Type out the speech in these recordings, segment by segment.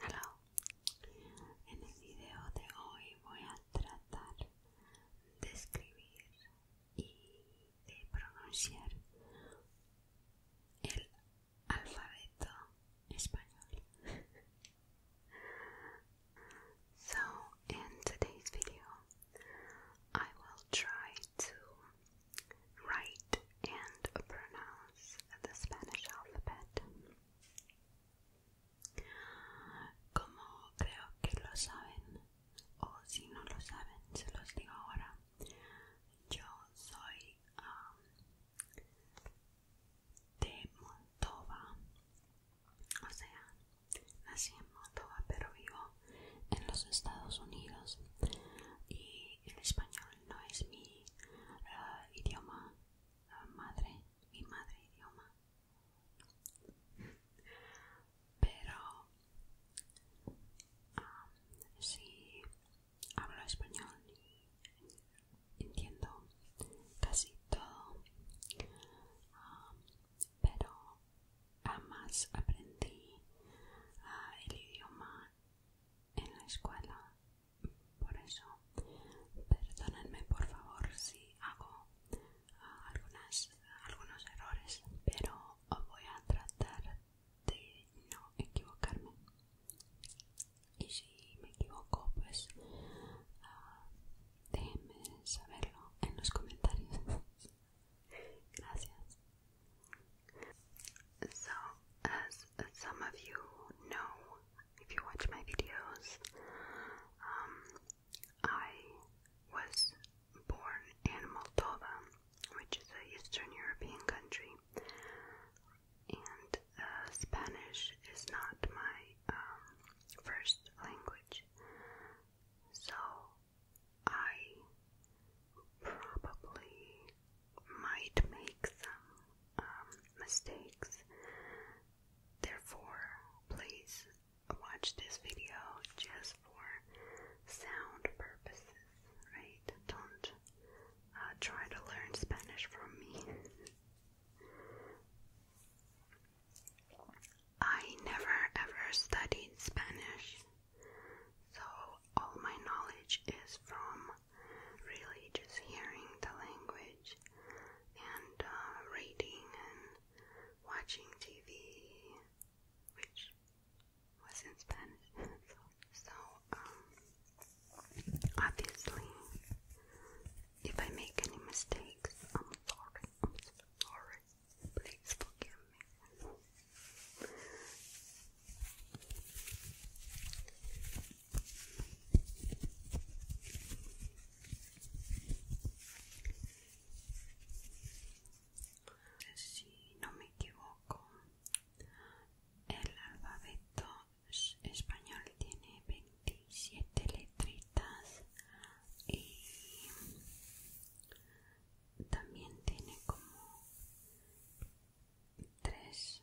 Hello. En el video de hoy voy a tratar de escribir y de pronunciar el so, in today's video, I will try to write and pronounce the Spanish alphabet. Como creo que lo saben, o si no lo saben, se los digo ahora. Yo soy de Moldova, o sea, nací en Moldova, pero vivo en los Estados Unidos y el español no es mi ah, idioma ah, madre, mi madre idioma pero si ah, sí hablo español y entiendo casi todo ah, pero además aprendí ah, el idioma en la escuela por eso, perdónenme por favor si hago ah, algunos errores, pero voy a tratar de no equivocarme. Y si me equivoco, pues ah, déjenme saberlo en los comentarios. Gracias. So, as some of you know, if you watch my videos, um, I was born in Moldova, which is a Eastern European country, and uh, Spanish is not my um, first language, so I probably might make some um, mistakes Therefore, please watch this video just for sound purposes, right? Don't uh, try to learn Spanish from me. I never ever studied Spanish, so all my knowledge is from really just hearing the language and uh, reading and watching TV, which was in Spanish. so, um, obviously, if I make any mistakes, I'm sorry. I'm so sorry. Please forgive me. Si no me equivoco, el alfabeto español tiene 27 letritas y también tiene como tres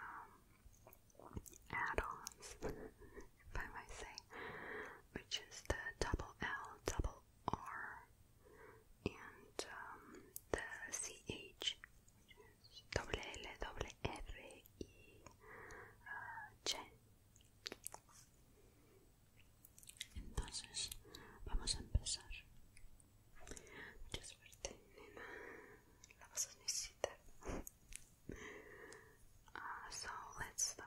um, add-ons, if I might say, which is the double L, double R, and um, the CH, which is double L, double R, E, uh, J. Entonces, vamos a empezar. Mucha suerte, nena. La vas ah, so let's start.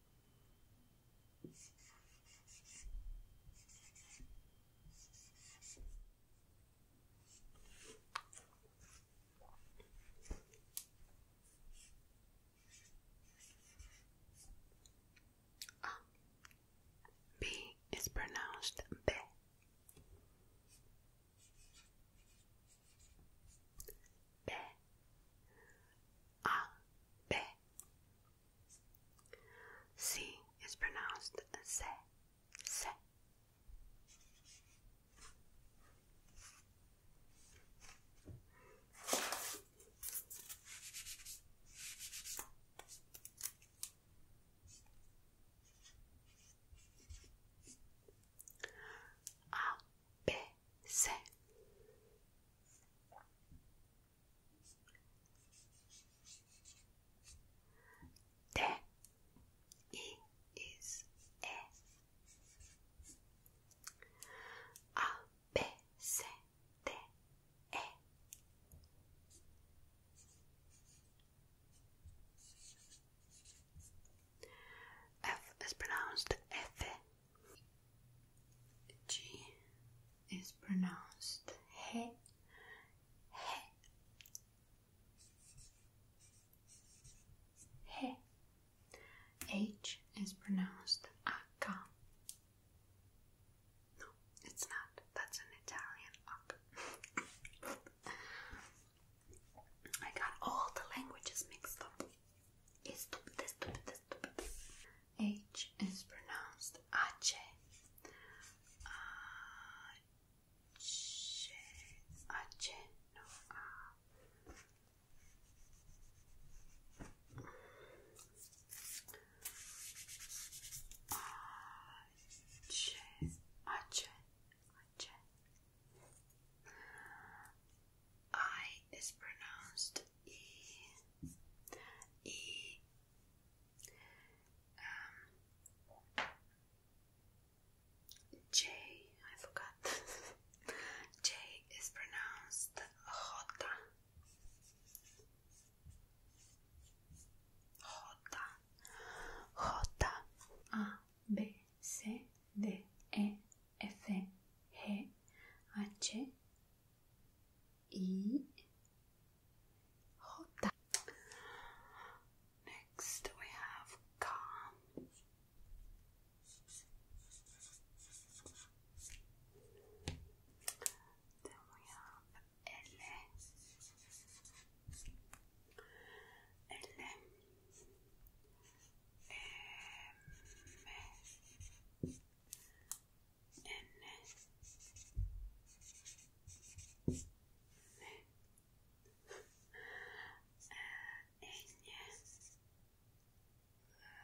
B is pronounced B. B. A, B. C is pronounced se, se baisser. is pronounced F G is pronounced he, he, he. H is pronounced akka. No, it's not. That's an Italian I got all the languages mixed up. It's stupid, stupid. H is pronounced H. H. H. No, A. H. H. H. I is pronounced y, y um, J, I forgot. J is pronounced J. J. J. A, B, C, D, E, F H E J. Next we have calm. Then we have L. L. M N uh,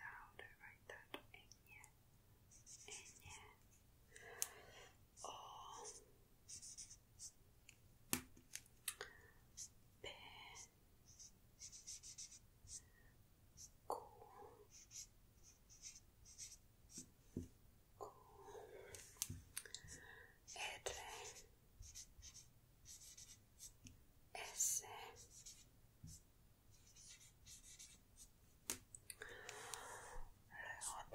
how do I write that? Enye. Enye. O. P. R S luego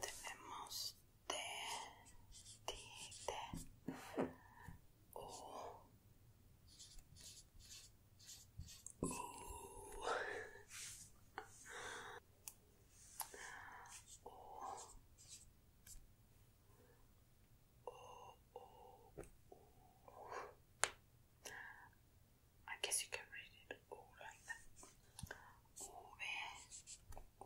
tenemos T D T U Ooh. guess you can read it all like that. Oh, man. oh,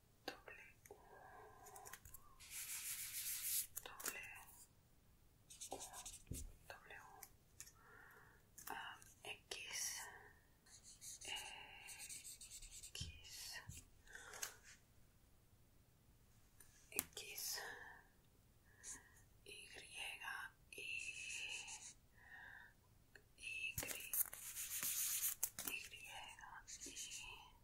doble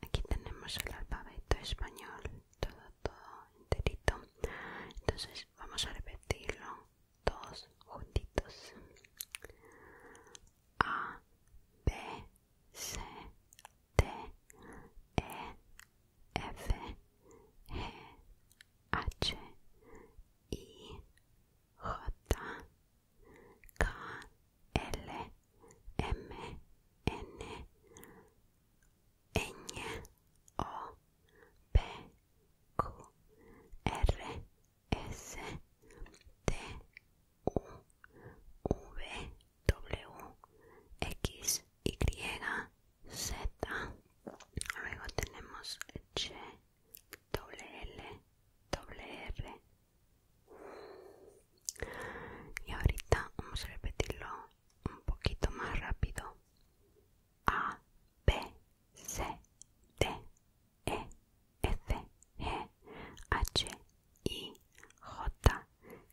Aquí tenemos el alfabeto español, todo, todo enterito. Entonces vamos a repetirlo Dos juntitos A, B, C, D, E, F, G, H, I, J, K, L, M, N, e, Ñ, O, P, Q, R, S T U V W X Y Z luego tenemos h W L R y ahorita vamos a repetirlo un poquito más rápido A B, C, D, E, F, G, H, I, J,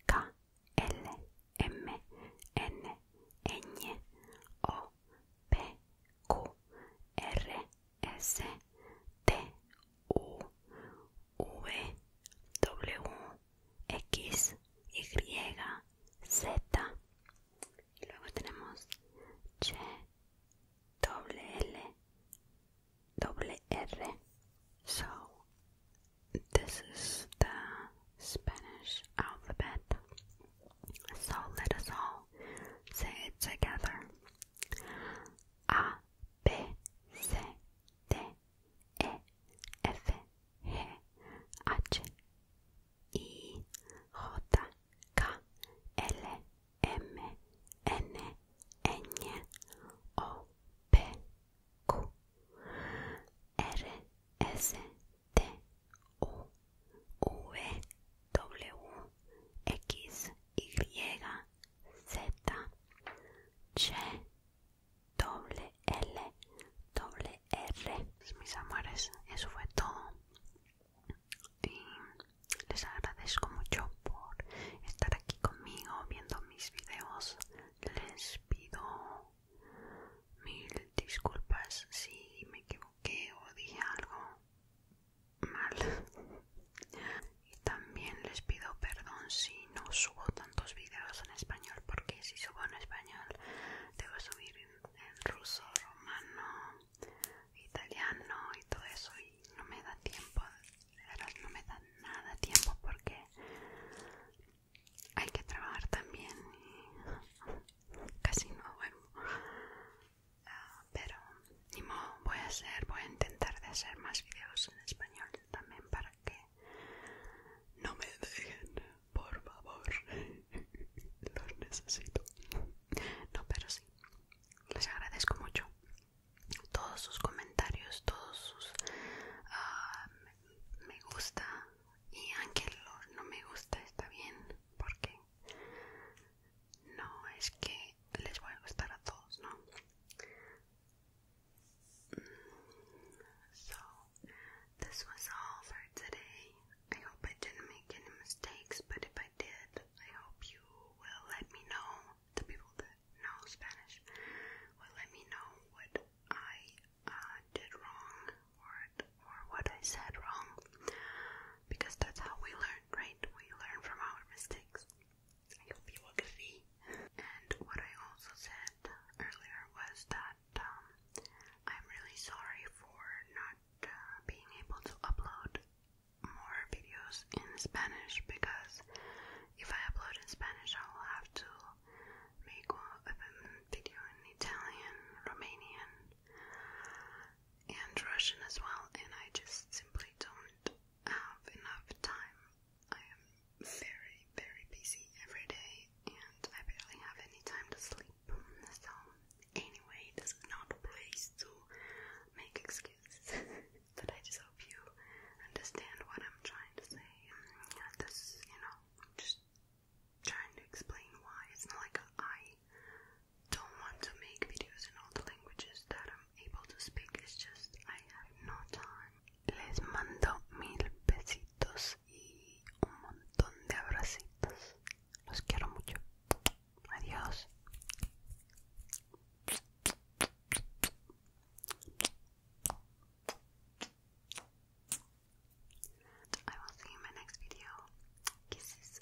K, L, M, N, Ñ, O, P, Q, R, S, T, U, V, W, X, Y, Z, y luego tenemos Che doble L doble so this is the Spanish alphabet so let us all say it together A B C D E F G H I J K L M N N O P Q R S T U V W X Y Z C W L W. R mis amores eso fue todo y les agradezco mucho por estar aquí conmigo viendo mis videos les pido mil disculpas si me equivoqué o dije algo mal y también les pido perdón si no subo tantos videos en español porque si subo en español debo subir en ruso romano italiano y todo eso y no me da tiempo, no me da nada tiempo porque hay que trabajar también y casi no duermo. Ah, pero ni modo, voy a hacer, voy a intentar de hacer más videos en español también para que no me dejen, por favor los necesito. No, pero sí, les agradezco mucho todos sus comentarios, todos sus ah, me gusta y aunque no me gusta está bien porque no es que les voy a gustar a todos, ¿no? Mm, so, this was all for today. I hope I didn't make any mistakes, but if I did, I hope you will let me know. The people that know Spanish will let me know what I uh, did wrong or, or what I said wrong, because that's how we learn, right? We learn from our mistakes. I hope you will see. And what I also said earlier was that um, I'm really sorry for not being able to upload more videos in Spanish because if I upload in Spanish, I will have to make a video in Italian, Romanian, and Russian as well, and I just simply don't have enough time. I am very, very busy every day, and I barely have any time to sleep. So, anyway, this is not a place to make excuses, but I just hope you understand what I'm trying to say. this, you know, just trying to explain why. It's not like I don't want to make videos in all the languages that I'm able to speak, it's just I have no time. Les mando mil besitos y un montón de abracitos. Los quiero mucho. Adiós. I will see you in my next video. Kisses